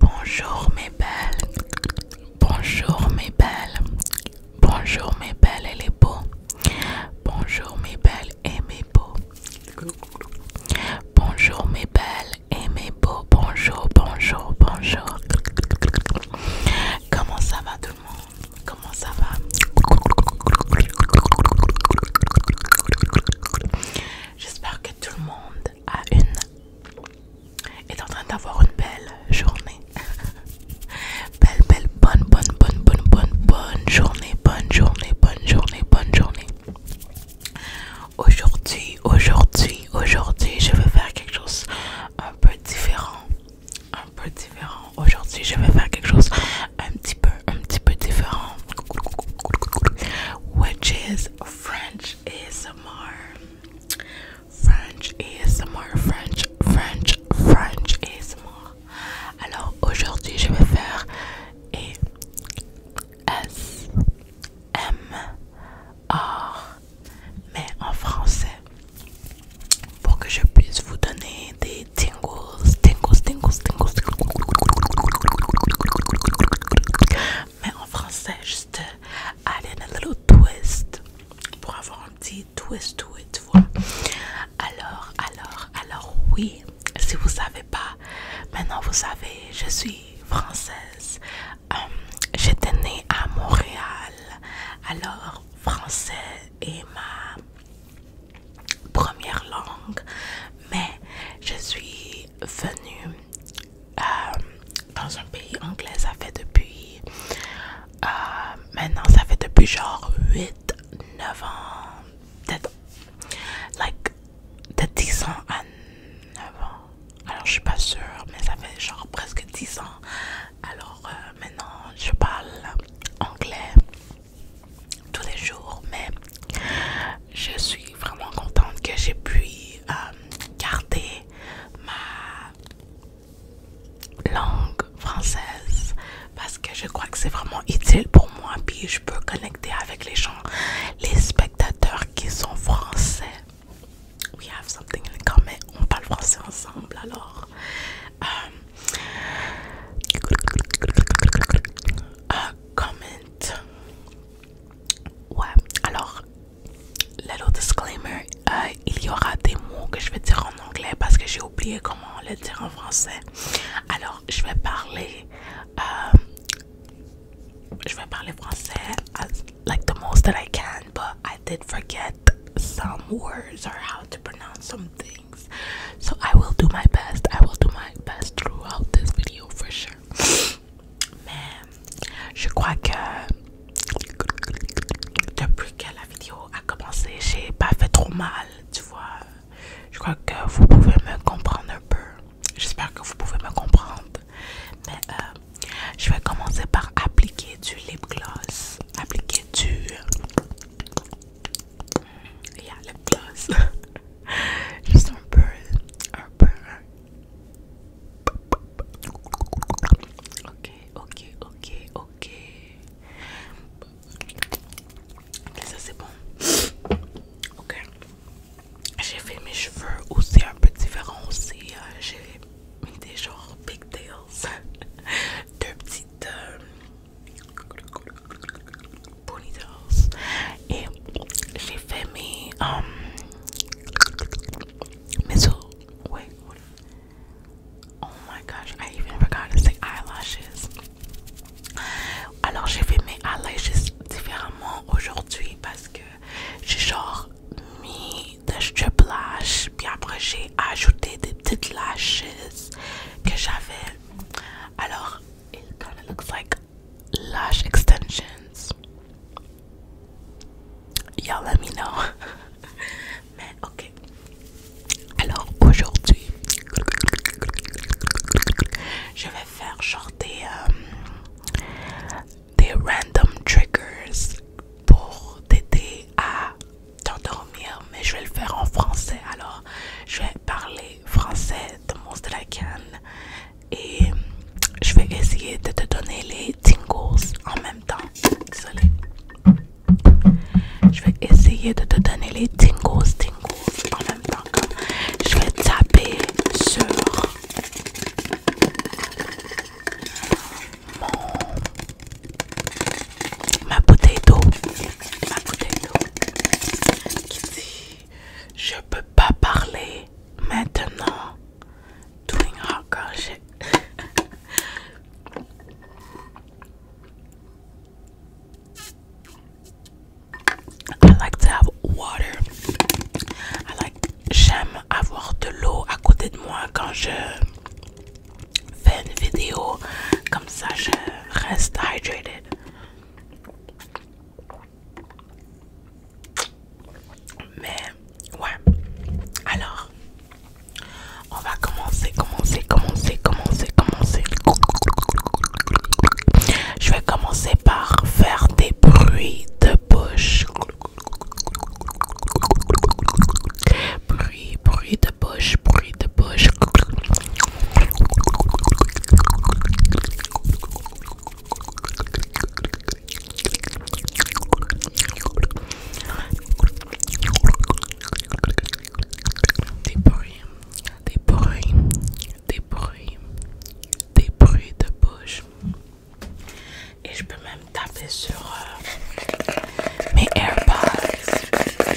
Bonjour mes belles, bonjour mes belles, bonjour mes belles et les beaux, bonjour mes belles et mes beaux, bonjour mes belles et mes beaux, bonjour, bonjour, bonjour. Comment ça va tout le monde? Comment ça va? J'espère que tout le monde à une est en train d'avoir une belle journée. belle, belle, bonne, bonne, bonne, bonne, bonne, journée, bonne journée, bonne journée, bonne journée. Aujourd'hui, aujourd'hui, aujourd'hui, je vais faire quelque chose un peu différent. Un peu différent. Aujourd'hui, je vais faire quelque chose un petit peu, un petit peu différent. Which is French French more French French, French, French more. Alors aujourd'hui, je vais faire et M mais en français pour que je puisse vous donner des tingles mais en français, juste à euh, in little twist pour avoir un petit twist tout et Alors, alors, alors, oui, si vous savez pas, maintenant vous savez, je suis française. Hum, j'étais née à Montréal, alors français est ma première langue, mais je suis venu euh, dans un pays anglais, ça fait depuis... Euh, maintenant, ça fait depuis genre 8, 9 ans, peut-être like, de 10 ans à 9 ans. Alors, je suis pas sûre, mais ça fait genre presque 10 ans. Alors, euh, maintenant, je parle anglais tous les jours, mais je suis vraiment contente que j'ai pu euh, garder ma langue française parce que je crois que c'est vraiment utile pour moi puis je peux connecter avec les gens, les spectateurs qui sont français. We have something in common. On parle français ensemble alors. Euh, comment Ouais, alors, le disclaimer, euh, il y aura des mots que je vais dire en anglais parce que j'ai oublié comment le dire en français. Alors, je vais parler, euh, like the most that I can, but I did forget some words or how to pronounce some things. So I will do my best. I will do my best throughout this video for sure. Mais je crois que depuis que la vidéo a commencé, j'ai pas fait trop mal, tu vois. Je crois que vous pouvez me comprendre un peu. J'espère que vous pouvez me comprendre. Mais euh, je vais commencer par appliquer du lip gloss. Appliquer du. Il mm, y lip gloss. Juste un peu, un peu. Ok, ok, ok, ok. Ok, ça c'est bon. Ok. J'ai fait mes cheveux aussi un peu différents aussi. Euh, j'ai mis des genres pigtails. Deux petites... Euh, ponytails and she fed me um wait what oh my gosh I even forgot to say eyelashes alors j'ai fait eyelashes différemment aujourd'hui parce que j'ai genre mis des strip lash après j'ai ajouté des petites lashes que j'avais alors it kind of looks like lash extensions. y'a let me know. Mais ok. Alors aujourd'hui, je vais faire genre des, euh, des random triggers pour t'aider à t'endormir. Mais je vais le faire en français. Alors je vais parler français de Mons de la canne et je vais essayer de te donner les tingles en même temps. désolé Je vais essayer de te donner les tingles, tingles en même temps. je vais taper sur mon ma bouteille d'eau, ma bouteille d'eau qui je peux pas parler maintenant. Doing hot I like to have water. I like j'aime avoir de l'eau à côté de moi quand je fais une vidéo comme ça je reste hydrated. Mais ouais. Alors, on va commencer, commencer, commencer, commencer, commencer. Je vais commencer par faire des bruits de bouche. Bruit, bruit de bouche, bruit de des bruits, des bruits, des bruits, des bruits de bouche. Et je peux même taper sur euh, mes AirPods.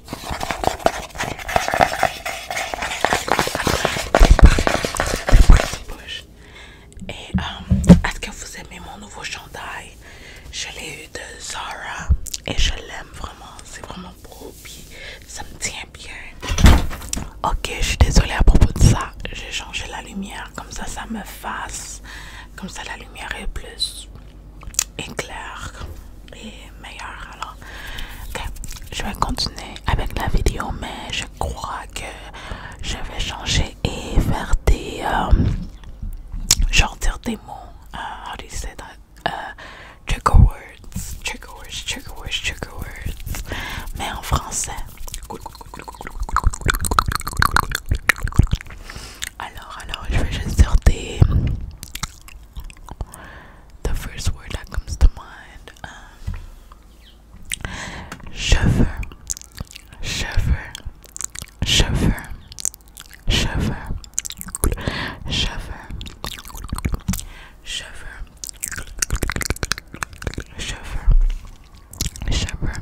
Et euh, est-ce que vous aimez mon nouveau chandail? Je l'ai eu de Zara et je l'aime vraiment. C'est vraiment beau puis ça me tient bien. Ok, je suis désolée à propos de ça. J'ai changé la lumière comme ça, ça me fasse. Comme ça, la lumière est plus est clair et meilleur. Alors, ok je vais continuer avec la vidéo, mais je crois que je vais changer et faire des. Euh, genre dire des mots. Euh, how do you say that? Euh, trigger words. Trigger words, trigger words, trigger words. Mais en français. Alors, alors, je vais juste dire des the first word that comes to mind um, shiver shiver shiver shiver shiver shiver shiver shiver shiver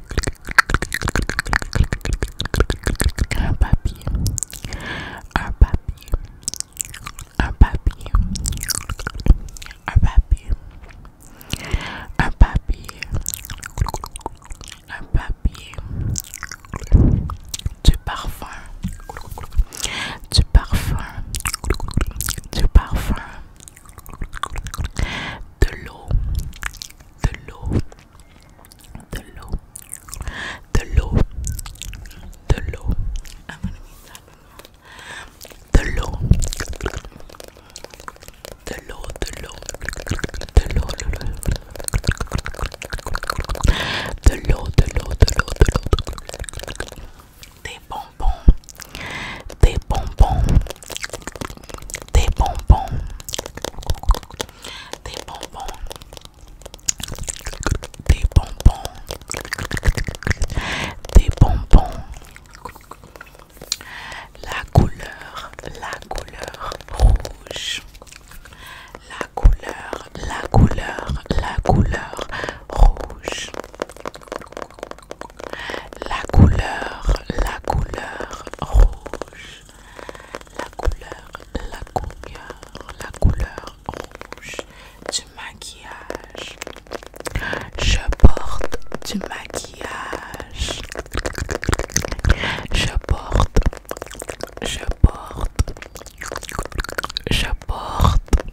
un papier, un papier, un papier, un papier, un papier, un papier, du parfum, du parfum, du parfum, de l'eau, the law, the law, the law, the law. I'm gonna read that one. The law, the law, the law, the law, the law, the law, the law, the law, the law. Des bonbons, des bonbons, des bonbons, des bonbons, des bonbons, des bonbons. La couleur, la couleur rouge. La couleur, la couleur, la couleur rouge la couleur, la couleur rouge, la couleur, la couleur, la couleur rouge du maquillage. Je porte du maquillage. Je porte, je porte, je porte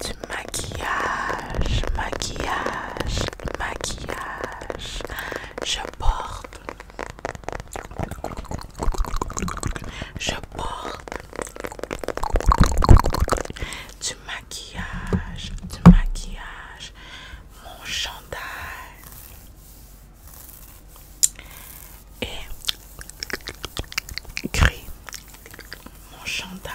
du maquillage, maquillage, maquillage. Je porte. Je porte du maquillage, du maquillage, mon chandail et gris, mon chandail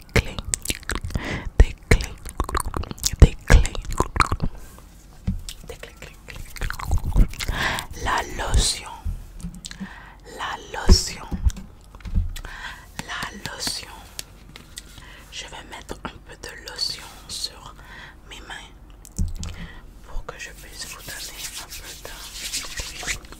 des clés, des clés, des clés, des clés, La lotion, la lotion, la lotion. Je vais mettre un peu de lotion sur mes mains pour que je puisse vous donner un peu de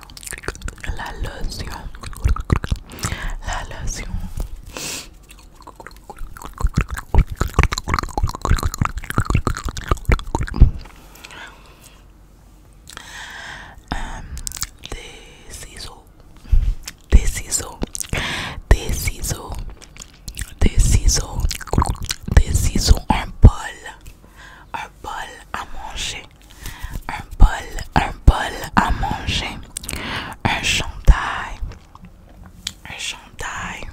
la loción la loción des ciseaux des ciseaux Des ciseaux Des ciseaux un bol un bol à manger un bol, un bol à manger, un chantail, un chantail,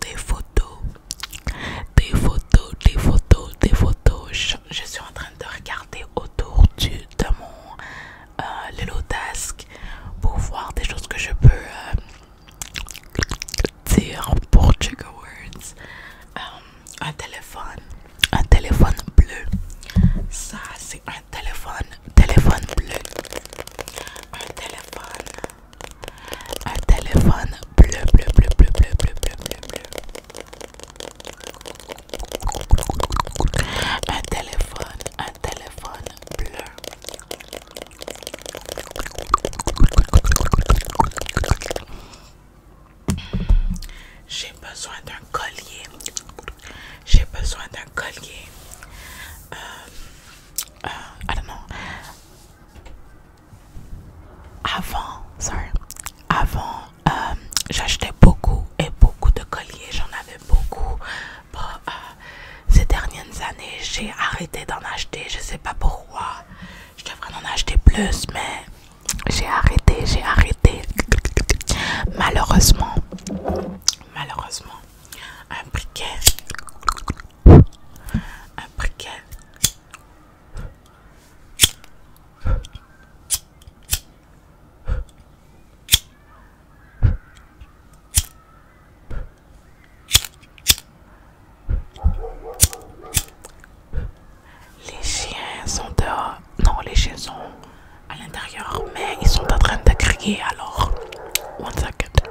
des photos, des photos, des photos, des photos. Je, suis en train de regarder autour du, de mon euh, Desk pour voir des choses que je peux euh, dire pour portugais. Words. Euh, un téléphone, un téléphone bleu. Ça, c'est un téléphone, téléphone bleu. Un téléphone, un téléphone bleu, bleu, bleu, bleu, bleu, bleu, bleu, bleu, bleu. Un téléphone, un téléphone bleu. J'ai besoin d'un collier. J'ai besoin d'un collier. Euh, euh, Avant, sorry. Avant, euh, j'achetais beaucoup et beaucoup de colliers. J'en avais beaucoup. ces dernières années, j'ai arrêté d'en acheter. Je sais pas pourquoi. Je devrais en acheter plus, mais j'ai arrêté, j'ai arrêté. Malheureusement, malheureusement, un briquet, un briquet. Les chiens sont dehors. les chiens sont à l'intérieur, mais ils sont en train de crier alors. One second.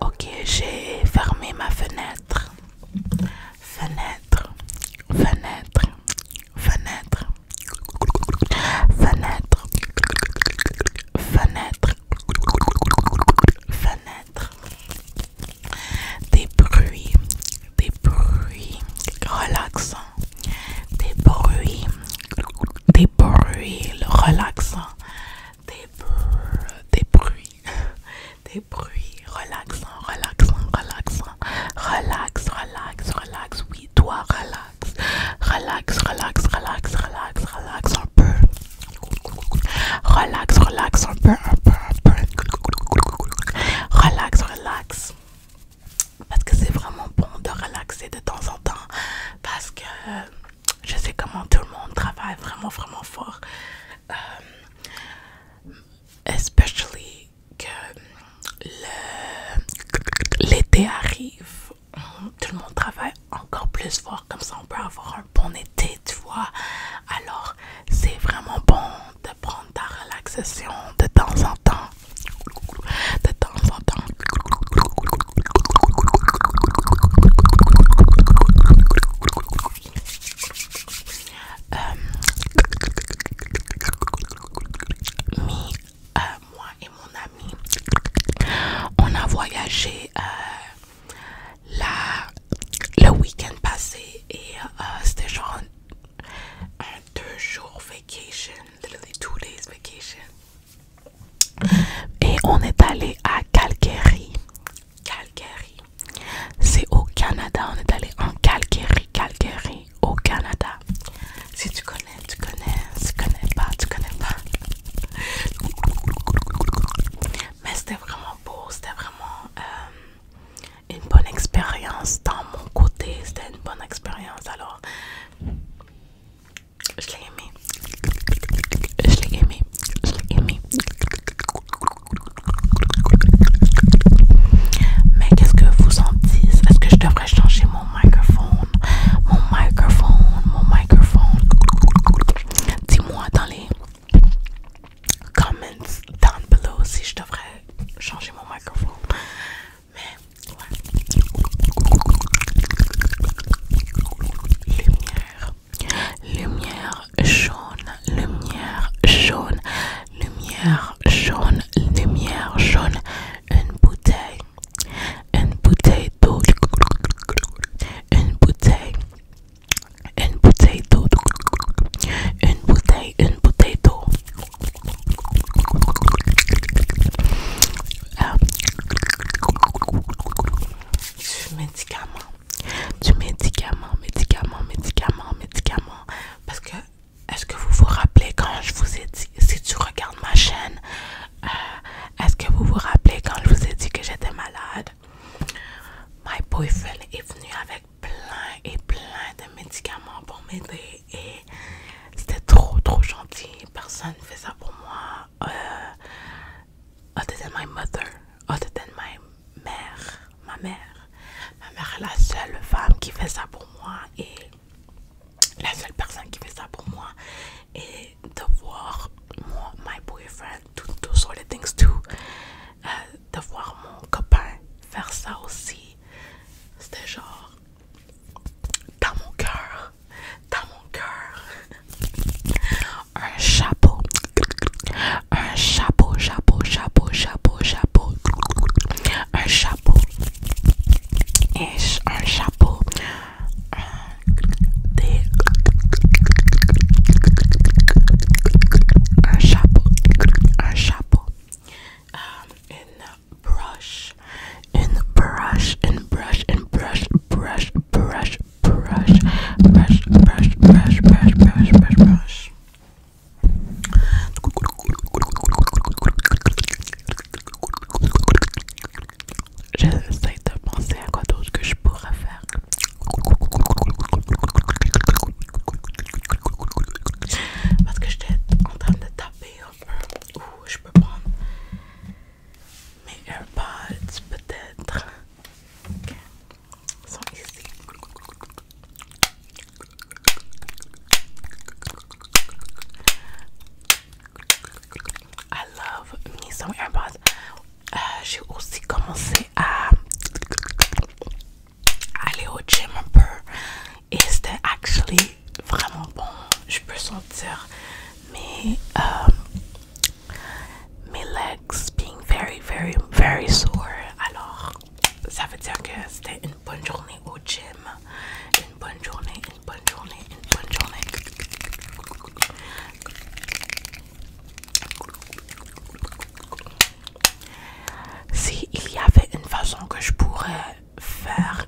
Ok, j'ai fermé ma fenêtre. Fenêtre, fenêtre, fenêtre, fenêtre, fenêtre, fenêtre des bruits, des bruits relaxants, des bruits, des bruits relaxants, des, bruits, des bruits, des bruits relaxants, relaxants, relaxants, relax, relax, relax, oui, toi relax, relax, relax, relax, relax, relax un peu, Relax, relax, un peu, un peu, un peu. Relax, relax. Parce que c'est vraiment bon de relaxer de temps en temps. Parce que je sais comment tout le monde travaille vraiment, vraiment fort. Euh, especially que l'été arrive. Tout le monde travaille encore plus fort comme ça on peut avoir un bon été, tu vois. Alors, c'est vraiment bon de prendre ta relaxation de temps en temps. De temps en temps. Euh, euh, moi et mon ami, on a voyagé euh, la, le week-end passé et euh, c'était genre un, deux jours vacation, les days vacation. Et on est allé à Calgary. Calgary. C'est au Canada. On est allé en Calgary. Calgary au Canada. Si tu connais, tu connais. Si tu connais pas, tu connais pas. Mais c'était vraiment c'était vraiment euh, une bonne expérience dans mon côté, c'était une bonne expérience alors je l'ai aimé, je l'ai aimé, je l'ai aimé. Mais qu'est-ce que vous en dites? Est-ce que je devrais changer mon microphone? Mon microphone, mon microphone. Dis-moi dans les comments down below si je devrais changer mon microphone. Mais Lumière. Lumière jaune, lumière jaune, lumière jaune, lumière jaune. Une bouteille, une bouteille d'eau, une bouteille, une bouteille d'eau, une bouteille, une bouteille d'eau. Du ah. médicament, du médicament, médicament, médicament, médicament. Parce que, est-ce que vous vous rappelez quand je vous ai dit, si tu regardes ma chaîne, euh, est-ce que vous vous rappelez quand je vous ai dit que j'étais malade? My boyfriend est venu avec plein et plein de médicaments pour m'aider et c'était trop trop gentil. Personne ne fait ça pour moi. Euh, other than my mother, other than ma mère, ma mère. Ma mère est la seule femme qui fait ça pour moi et la seule personne qui fait ça pour moi. Et de voir moi, my boyfriend sortes de euh, de voir mon copain faire ça aussi, c'était genre dans mon cœur, dans mon cœur. Un chapeau, un chapeau, chapeau, chapeau, chapeau, chapeau, un chapeau, un chapeau, un chapeau, un chapeau, brush, brush, brush, brush, brush, brush, brush, brush, brush, brush, brush, brush, de penser à quoi d'autre que je pourrais faire parce que je t'ai en train de taper un peu. Ouh, je peux prendre mes AirPods peut-être. sont ici. I love me some euh, J'ai aussi commencé à aller au gym un peu et c'était actually vraiment bon. Je peux sentir mes, euh, mes legs being very, very, very sore. Alors, ça veut dire que c'était une bonne journée au gym. Une bonne journée, une bonne journée, une bonne journée. Si il y avait une façon que je pourrais faire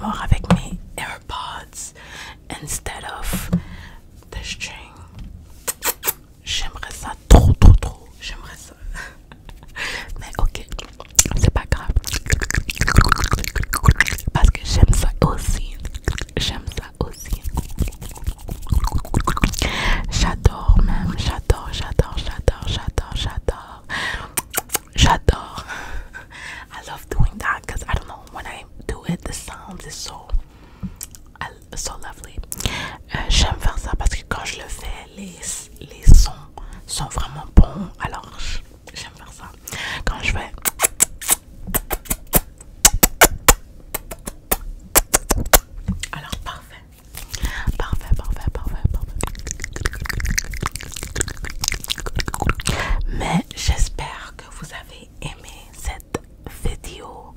mort avec mes AirPods instead of the string, j'aimerais ça trop, trop, trop. J'aimerais ça. Mais ok, c'est pas grave. Parce que j'aime ça aussi. J'aime ça aussi. J'adore même, j'adore, j'adore, j'adore, j'adore, j'adore. J'adore. I love doing that because I don't know when I do it, the sound is so, lovely. Euh, j'aime faire ça parce que quand je le fais, les, les sons sont vraiment bons. Alors j'aime faire ça. Quand je fais alors parfait. Parfait, parfait, parfait, parfait. Mais j'espère que vous avez aimé cette vidéo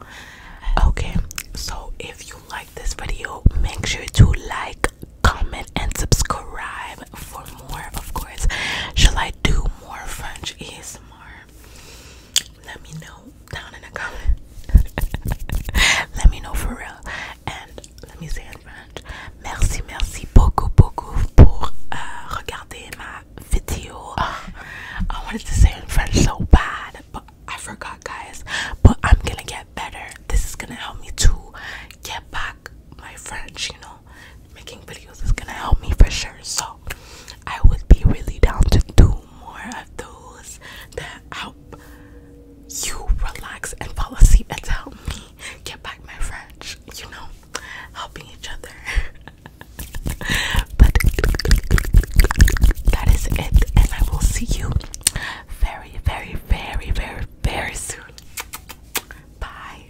Okay, so if you like this video, make sure to like, comment, and subscribe for more. Of course, shall I do more French more Let me know down in the comment. let me know for real. And let me say in French. Merci, merci beaucoup, beaucoup pour euh, regarder ma video. Uh, I wanted to say in French so bad, but I forgot, guys. But I'm gonna get better. This is gonna help me to get back my French, you know making videos is gonna help me for sure. So I would be really down to do more of those that help you relax and fall asleep and help me get back my French, you know, helping each other. but that is it, and I will see you very, very, very, very, very soon. Bye.